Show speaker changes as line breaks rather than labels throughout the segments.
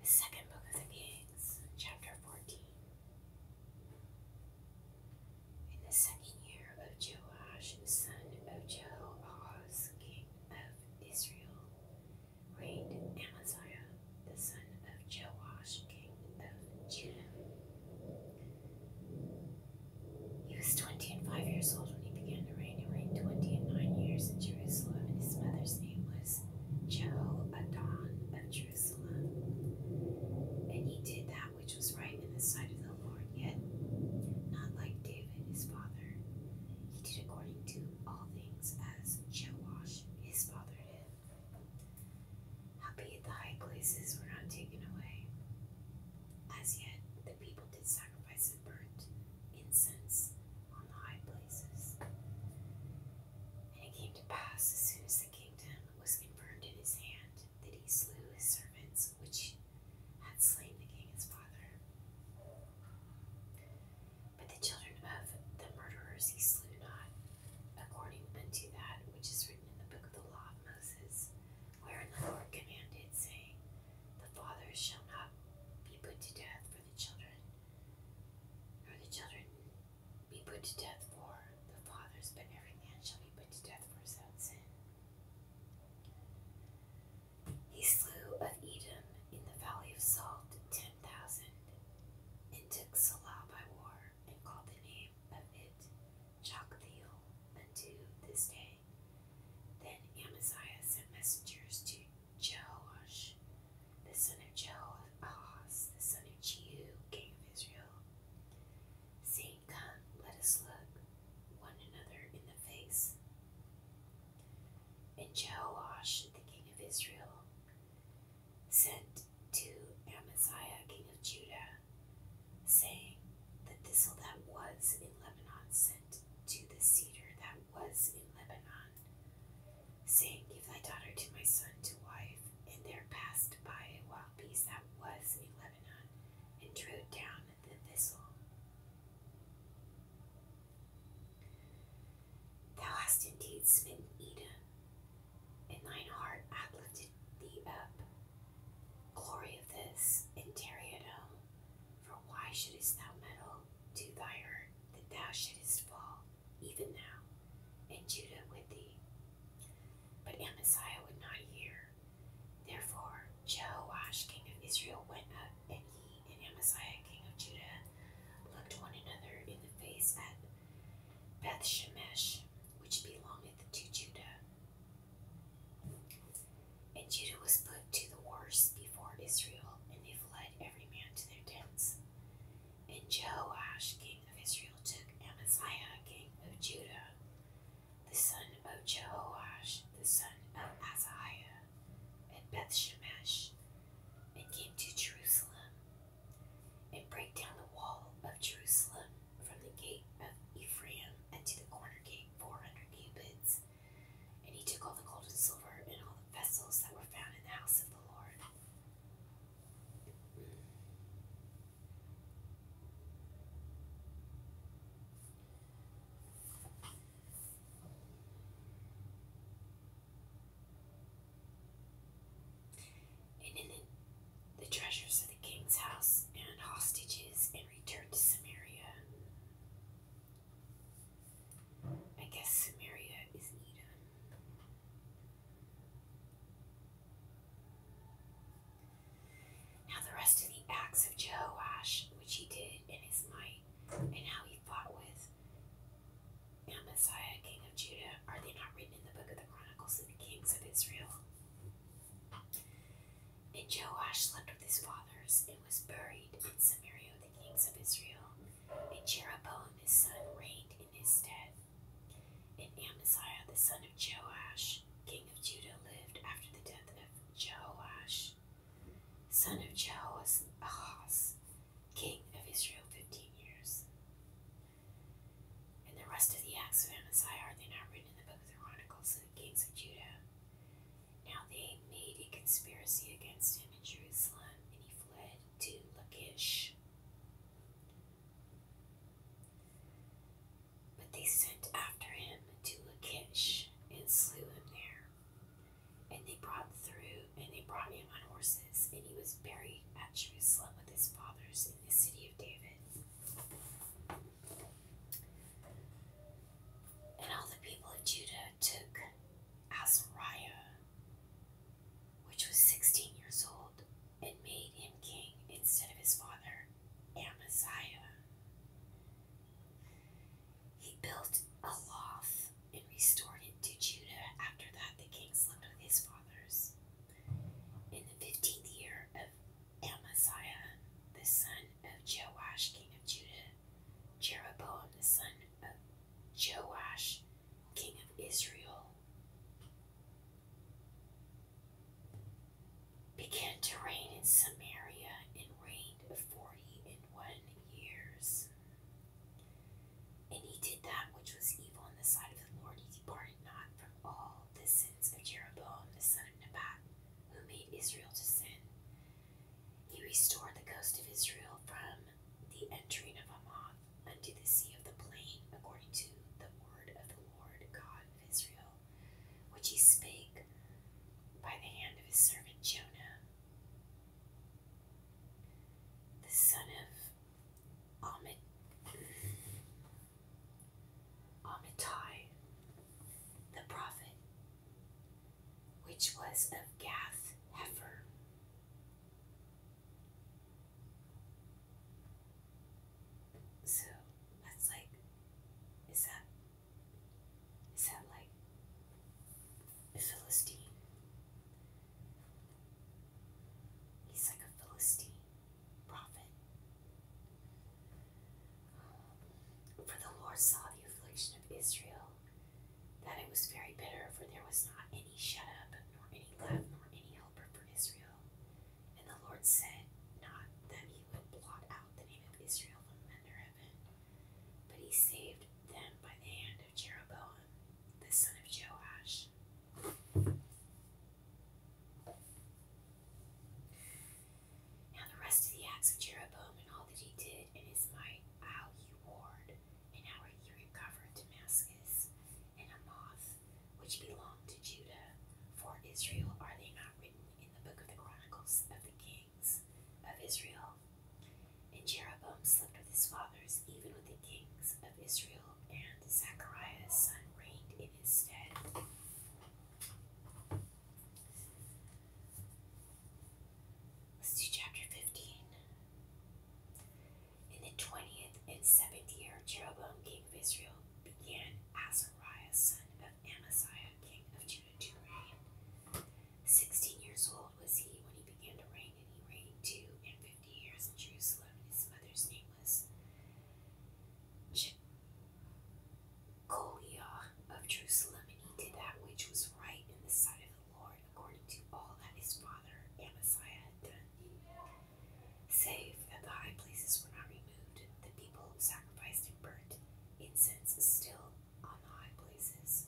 The second book of the Kings, chapter 14. In the second year of Joash, son of Jehoahaz, king of Israel, reigned Amaziah, the son of Joash, king of Judah. He was twenty and five years old when he began to reign. He reigned twenty and nine years in Jerusalem, and his mother's name was was Jehoadon of Jerusalem. And he did that which was right in the sight of the Lord, yet not like David his father. He did according to all things as Joash his father did. Howbeit the high places were not taken away. As yet the people did sacrifice and burnt incense on the high places. And it came to pass, as soon as the kingdom was confirmed in his hand, that he slew his servants which had slain the king his father. But the children of the murderers he slew not, according unto that which is written in the book of the law of Moses, wherein the Lord commanded, saying, The fathers shall not be put to death for the children, nor the children be put to death for the fathers, but every man shall be put to death for his own sin. He slew of Edom in the valley of Salt ten thousand, and took Salah by war, and called the name of it Joktheel unto this day. Then Amaziah sent messengers to Jehoash, the son of Jehoahaz, the son of Jehu, king of Israel, saying, Come, let us look one another in the face. And Jehoash, the king of Israel, sent to Amaziah, king of Judah, saying, The thistle that was in Lebanon sent to the cedar that was in Lebanon, saying, Give thy daughter to my son to wife. And there passed by a wild beast that was in Lebanon, and drew down the thistle. Thou hast indeed smitten Edom, and thine heart hath lifted thee up. Glory of this, and tarry at home. For why shouldst thou meddle to thy hurt, that thou shouldest fall? even now, and Judah with thee. But Amaziah would not hear. Therefore Joash, king of Israel went up, and he and Amaziah king of Judah looked one another in the face at Beth Shemesh, which belongeth to Judah. And Judah was put to the worse before Israel, and they fled every man to their tents. And Jehoash, king of Israel, took Amaziah, king of Judah, the son of Jehoash, the son of Azahiah, at Bethshemesh, and came to Jerusalem, and brake down the wall of Jerusalem from the gate of Ephraim unto the corner gate four hundred cubits. And he took all the gold and silver and all vessels that were found in the house of the Lord. And in the, treasures of the king's house and hostages, and returned to Samaria. I guess Samaria is Eden. Now the rest of the acts of Jehoash, which he did in his might, and how he fought with Amaziah, king of Judah, are they not written in the book of the Chronicles of the Kings of Israel? And Joash slept with his fathers and was buried in Samaria the kings of Israel, and Jeroboam his son reigned in his stead. And Amaziah the son of Joash, king of Judah, lived after the death of Joash, son of Jehoahaz, king of Israel, fifteen years. And the rest of the acts of Amaziah are they not written in the book of the Chronicles of the kings of Judah. Now they made a conspiracy against him in Jerusalem, and he fled to Lachish. But they sent after him to Lachish and slew him there. And they brought through and they brought him on horses, and he was buried at Jerusalem with his fathers in the city of David. And all the people of Judah took Azariah, which was 16 years old, and made him king instead of his father, Amaziah. He built a loft and restored it to Judah. After that, the king slept with his fathers. In the fifteenth year of Amaziah, the son of Joash, king of Judah, Jeroboam, the son of Joash, king of Israel, began to reign in Samaria and reigned forty and one years. And he did that which was evil in the sight of the Lord. He departed not from all the sins of Jeroboam the son of Nebat, who made Israel to sin. He restored the coast of Israel from the entering of a moth unto the sea of the plain, according to the word of the Lord God of Israel, which he spake by the hand of his servant Jonah, the son of Amit Amittai, the prophet, which was of Gath Hefer. So that's like, is that, is that like a Philistine? He's like a Philistine prophet. Um, for the Lord saw the affliction of Israel that it was very bitter, for there was not any shut up, nor any left, nor any helper for Israel. And the Lord said not that he would blot out the name of Israel from under heaven, but he saved them by the hand of Jeroboam, the son of Joash. Now the rest of the acts of Jeroboam and all that he did in his might, how he warred and how he recovered Damascus, and Hamath, which belonged to Judah. For Israel are they not written in the book of the Chronicles of the Kings of Israel? And Jeroboam slept with his fathers, even with the kings of Israel, and Zachariah's son reigned in his stead. Let's do chapter 15. In the twentieth and seventh year, Jeroboam, king of Israel, began Azariah, son of Amaziah, king of Judah, to reign. Sixteen years old was he when he began to reign, and he reigned two and fifty years in Jerusalem. And his mother's name was Jecoliah of Jerusalem, and he did that which was right in the sight of the according to all that his father Amaziah had done, save that the high places were not removed. The people sacrificed and burnt incense still on the high places.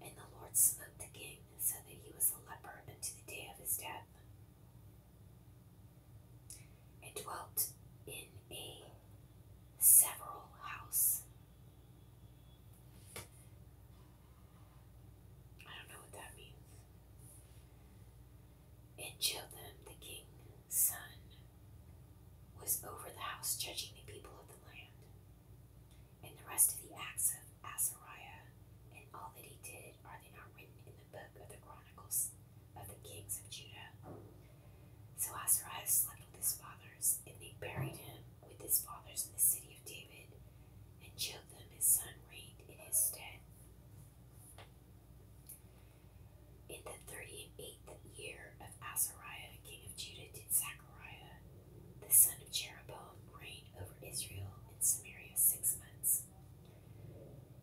And the Lord smote the king, and said that he was a leper unto the day of his death, and dwelt in a several house. I don't know what that means. And Jotham, the king's son, was over the house judging the people of the land. And the rest of the acts of Azariah and all that he did are they not written in the book of the Chronicles of the kings of Judah? So Azariah slept with his fathers, and they buried him with his fathers in the city of David, and Jotham his son reigned in his stead. In the thirty-eighth year of Azariah, king of Judah, did Zechariah, the son of Jeroboam, reign over Israel in Samaria six months.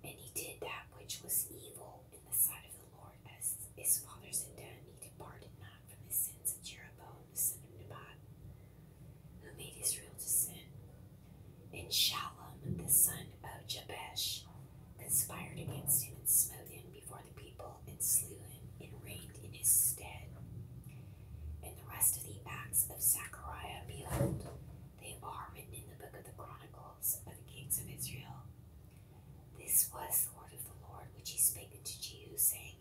And he did that which was evil in the sight of the Lord, as his fathers had done. He departed not from his sins of Jeroboam, the son of Nebat, who made Israel to And Shallum, the son of Jabesh, conspired against him and smote him before the people and slew him and reigned in his stead. And the rest of the acts of Zachariah behold, they are written in the book of the Chronicles of the kings of Israel. This was the word of the Lord which he spake unto Jehu, saying,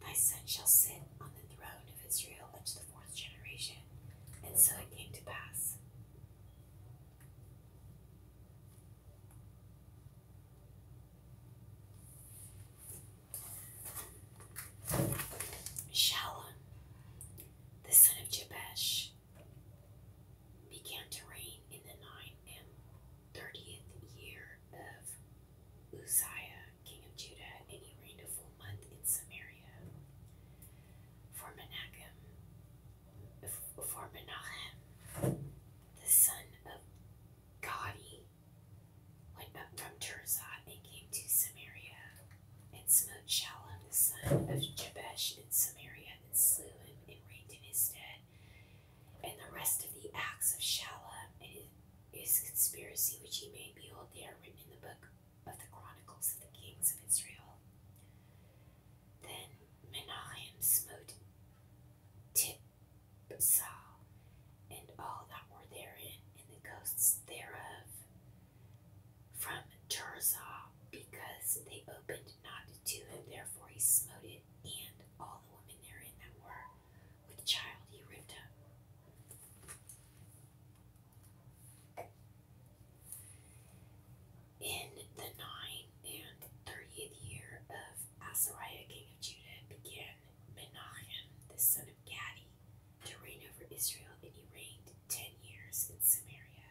Thy son shall sit on the throne of Israel unto the fourth generation. And so it came to pass. Shallum, the son of Jabesh, began to reign in the nine and thirtieth year of Uzziah, king of Judah, and he reigned a full month in Samaria. For Menachem, for Menahem, the son of Gadi, went up from Tirzah and came to Samaria, and smote Shallum the son of Jabesh in Samaria, and slew him, and reigned in his stead. And the rest of the acts of Shallum his conspiracy which he made, behold, they are written in the book of the Chronicles of the Kings of Israel. Then Menahem smote Tipsah and all that were therein, and the ghosts thereof from Tirzah, because they opened not to him, therefore he smote it, and all the women therein that were with child he ripped up. In the ninth and thirtieth year of Azariah king of Judah began Menahem, the son of Gadi, to reign over Israel, and he reigned ten years in Samaria.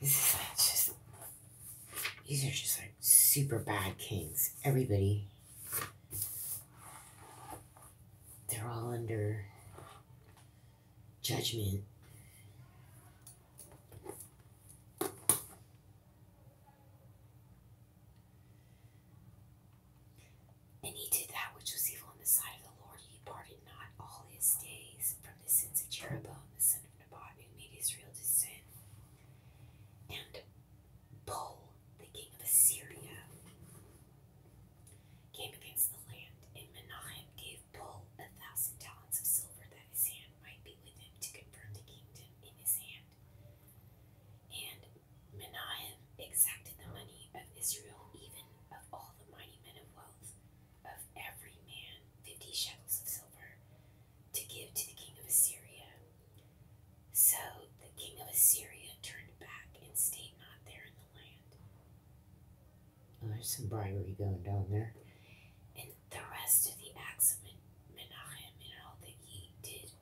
This is just these are just like super bad kings. Everybody they're all under judgment. And he did that which was evil in the sight of the Lord. He parted not all his days from the sins of Jeroboam, the son of Nebat, who made Israel to sin. And bold the king of Assyria, came against the land, and Manahem gave Bull a thousand talents of silver that his hand might be with him to confirm the kingdom in his hand. And Manahem exacted the money of Israel, even of all the mighty men of wealth, of every man fifty shekels of silver, to give to the king of Assyria. So the king of Assyria turned back and stayed not there in the land. Oh, there's some bribery going down there. And the rest of the acts of Menahem and all that he did,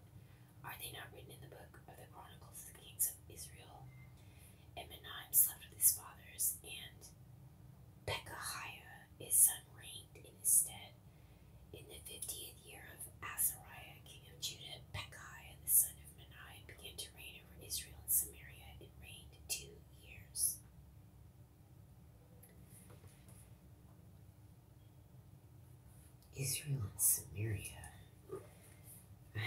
are they not written in the book of the Chronicles of the Kings of Israel? And Menahem slept with his fathers, and Pekahiah, his son, reigned in his stead. In the fiftieth year of Asarai, king of Judah, Pekahiah, the son of Manasseh, began to reign over Israel and Samaria, and reigned two years. Israel and Samaria. I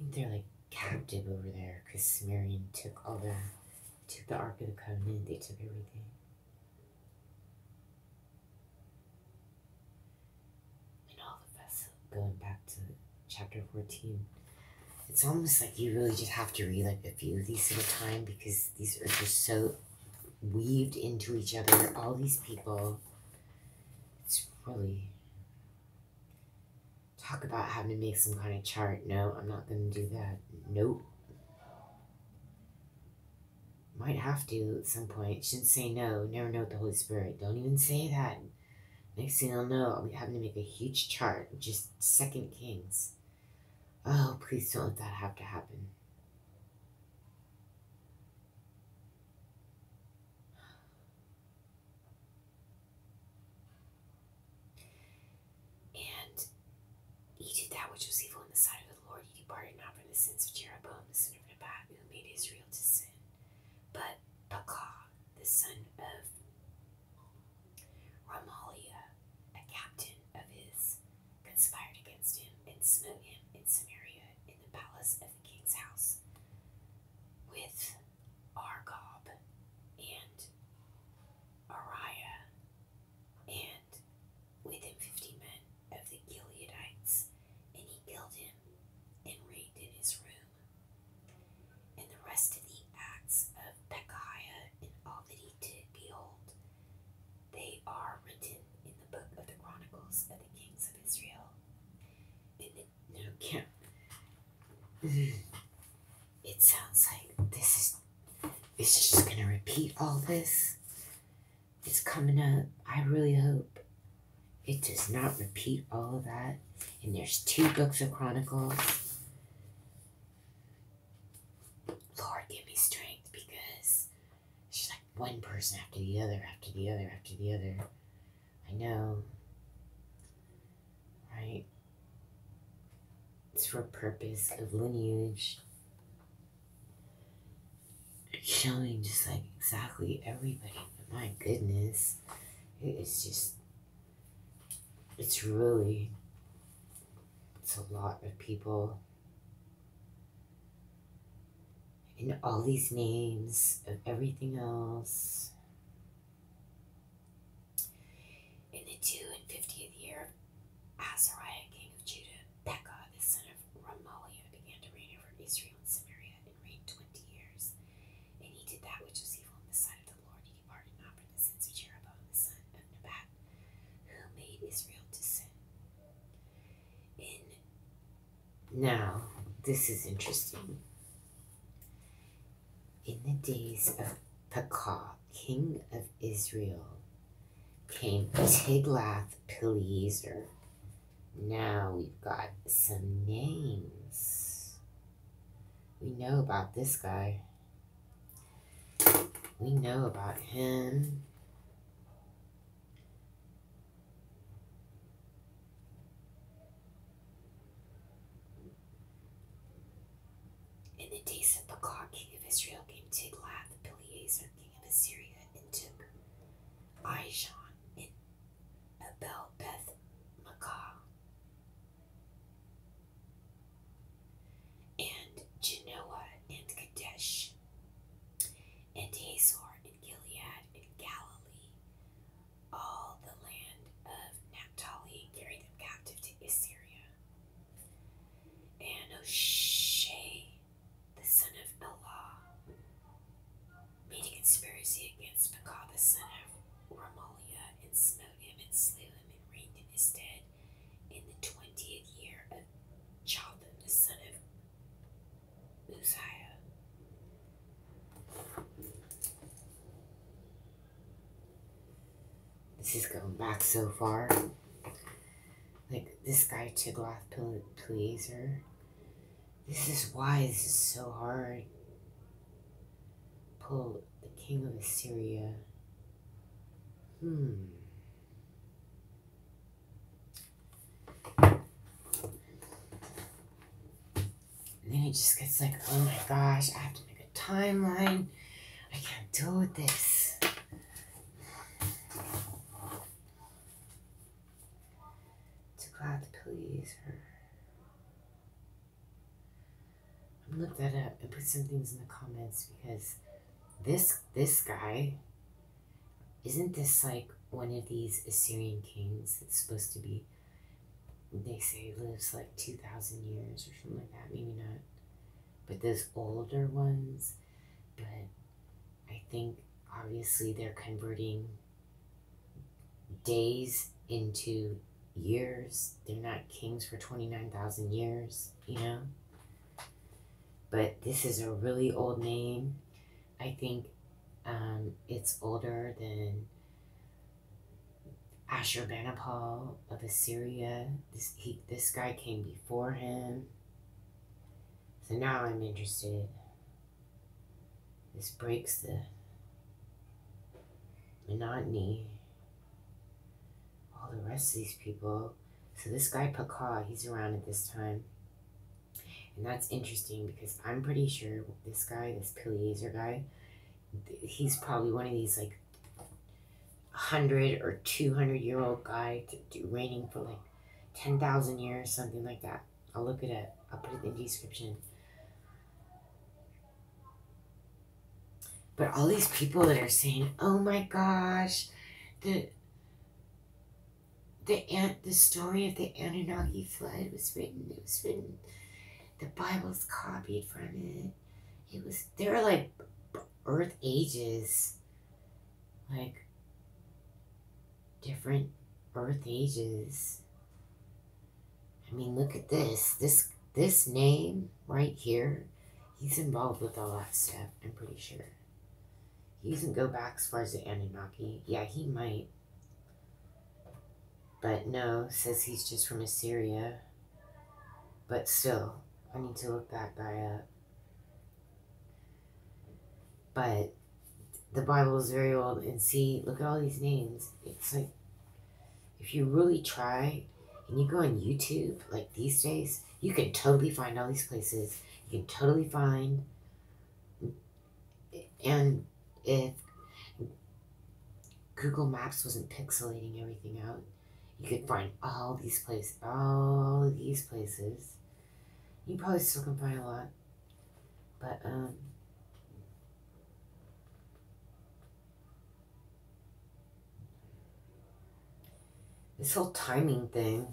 think they're like captive over there because Samarian took all the took the Ark of the Covenant, they took everything. And all of us going back to chapter 14. It's almost like you really just have to read like a few of these at a time because these are just so weaved into each other. All these people. It's really talk about having to make some kind of chart. No, I'm not going to do that. Nope might have to at some point. Shouldn't say no. Never know the Holy Spirit. Don't even say that. Next thing I'll know, I'll be having to make a huge chart just Second Kings. Oh, please don't let that have to happen. And he did that which was evil in the sight of the Lord. He departed not from the sins of Jeroboam, the son of Nebat, who made Israel to sin. But Baal, the son of Ramaliah, a captain of his, conspired against him and smote him in Samaria in the palace of the king's house with Argob and Ariah and with him fifty men of the Gileadites, and he killed him and reigned in his room. And the rest of the acts of Pekahiah and all that he did, behold, they are written in the book of the Chronicles of the Kings of Israel. In the no camp. It sounds like this is it's just gonna repeat all this. It's coming up, I really hope it does not repeat all of that. And there's two books of Chronicles. Lord, give me strength because she's like one person after the other, after the other, after the other. I know. Right? It's for purpose of lineage showing just like exactly everybody. But my goodness, it is just, it's really, it's a lot of people. And all these names of everything else. In the 2 and 50th year Azariah, king of Judah, Pekah, the son of Ramaliah, began to reign over Israel and Samaria and reigned twenty years. And he did that which was evil in the sight of the Lord. He departed not from the sins of Jeroboam, the son of Nebat, who made Israel to sin. In now, this is interesting. In the days of Pekah, king of Israel, came Tiglath-Pileser. Now we've got some names. We know about this guy. We know about him. In the days of the clock, king of Israel, came Tiglath-Pileser king of Assyria, and took and Abel Beth Makah and Genoa and Kadesh and Hazor and Gilead and Galilee, all the land of Naphtali, carried them captive to Assyria. And O'Shea the son of Allah, made a conspiracy against Pekah, the son of Ramaliah, and smote him and slew him and reigned in his stead in the twentieth year of Jotham, the son of Uzziah. This is going back so far. Like this guy Tiglath Pileser. This is why this is so hard. Pull the king of Assyria. Hmm. And then it just gets like, oh my gosh, I have to make a timeline. I can't do this. To glad to please her. I am looking that up and put some things in the comments because this this guy isn't this like one of these Assyrian kings It's supposed to be they say lives like two thousand years or something like that, maybe not. But those older ones, but I think obviously they're converting days into years. They're not kings for 29,000 years, you know? But this is a really old name. I think um, it's older than Ashurbanipal of Assyria. This, he, this guy came before him. So now I'm interested. This breaks the monotony. All the rest of these people. So this guy Pacquiao, he's around at this time. And that's interesting because I'm pretty sure this guy, this Pilaser guy, he's probably one of these like 100 or 200 year old guy to reigning for like 10,000 years, something like that. I'll look at it. I'll put it in the description. But all these people that are saying, "Oh my gosh, the the ant the story of the Anunnaki flood was written. It was written. The Bible's copied from it. It was. They're like Earth ages like different earth ages. I mean, look at this. This this name right here, he's involved with all that stuff, I'm pretty sure. He doesn't go back as far as the Anunnaki. Yeah, he might. But no, says he's just from Assyria. But still, I need to look that guy up. But the Bible is very old, and see, look at all these names. It's like, if you really try and you go on YouTube, like these days, you can totally find all these places. You can totally find, and if Google Maps wasn't pixelating everything out, you could find all these places, all these places you probably still can buy a lot. But, um, this whole timing thing.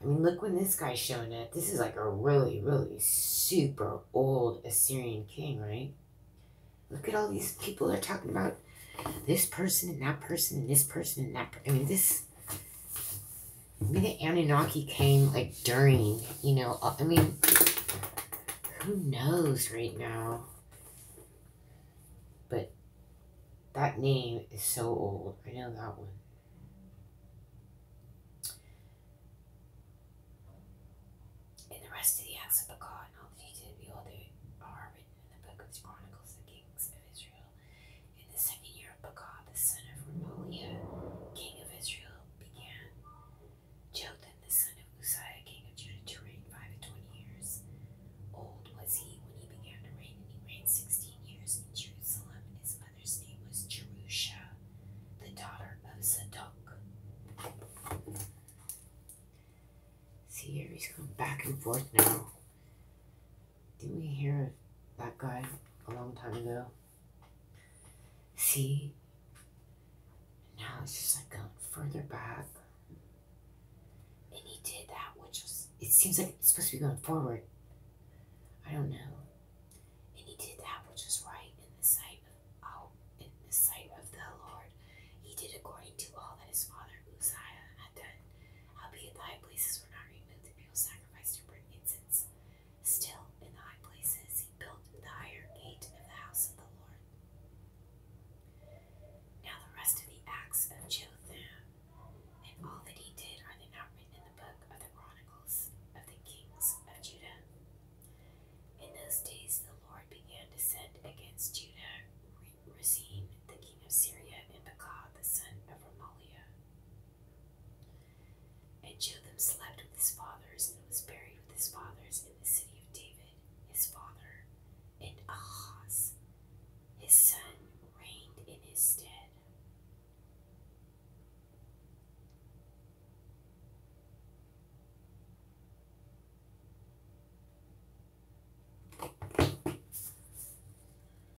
I mean, look when this guy's showing it. This is like a really, really super old Assyrian king, right? Look at all these people are talking about. This person and that person and this person and that. I mean, this Maybe the Anunnaki came, like, during, you know, uh, I mean, who knows right now? But that name is so old. I know that one. acts of the God all that he did, behold, they are written in the book of Chronicles, the kings of Israel. In the second year of Pekah, the son of Remaliah, king of Israel, began. Jotham, the son of Uzziah, king of Judah, to reign five and twenty years. Old was he when he began to reign, and he reigned sixteen years in Jerusalem. His mother's name was Jerusha, the daughter of Zadok. See here, he's going back and forth now did we hear of that guy a long time ago? See? Now it's just like going further back. And he did that, which was, it seems like it's supposed to be going forward. I don't know. And he did that which was right in the sight of oh, in the sight of the Lord. He did according to all that his father Uzziah had done. Howbeit thy places were not removed, sacrificed to Still, in the high places, he built the higher gate of the house of the Lord. Now, the rest of the acts of Jotham and all that he did are they not in the book of the Chronicles of the Kings of Judah? In those days, the Lord began to send against Judah Rezin, the king of Syria, and Pekah, the son of Ramaliah. And Jotham slept with his fathers and was buried with his fathers in the city of David, his father, and Ahaz, his son, reigned in his stead.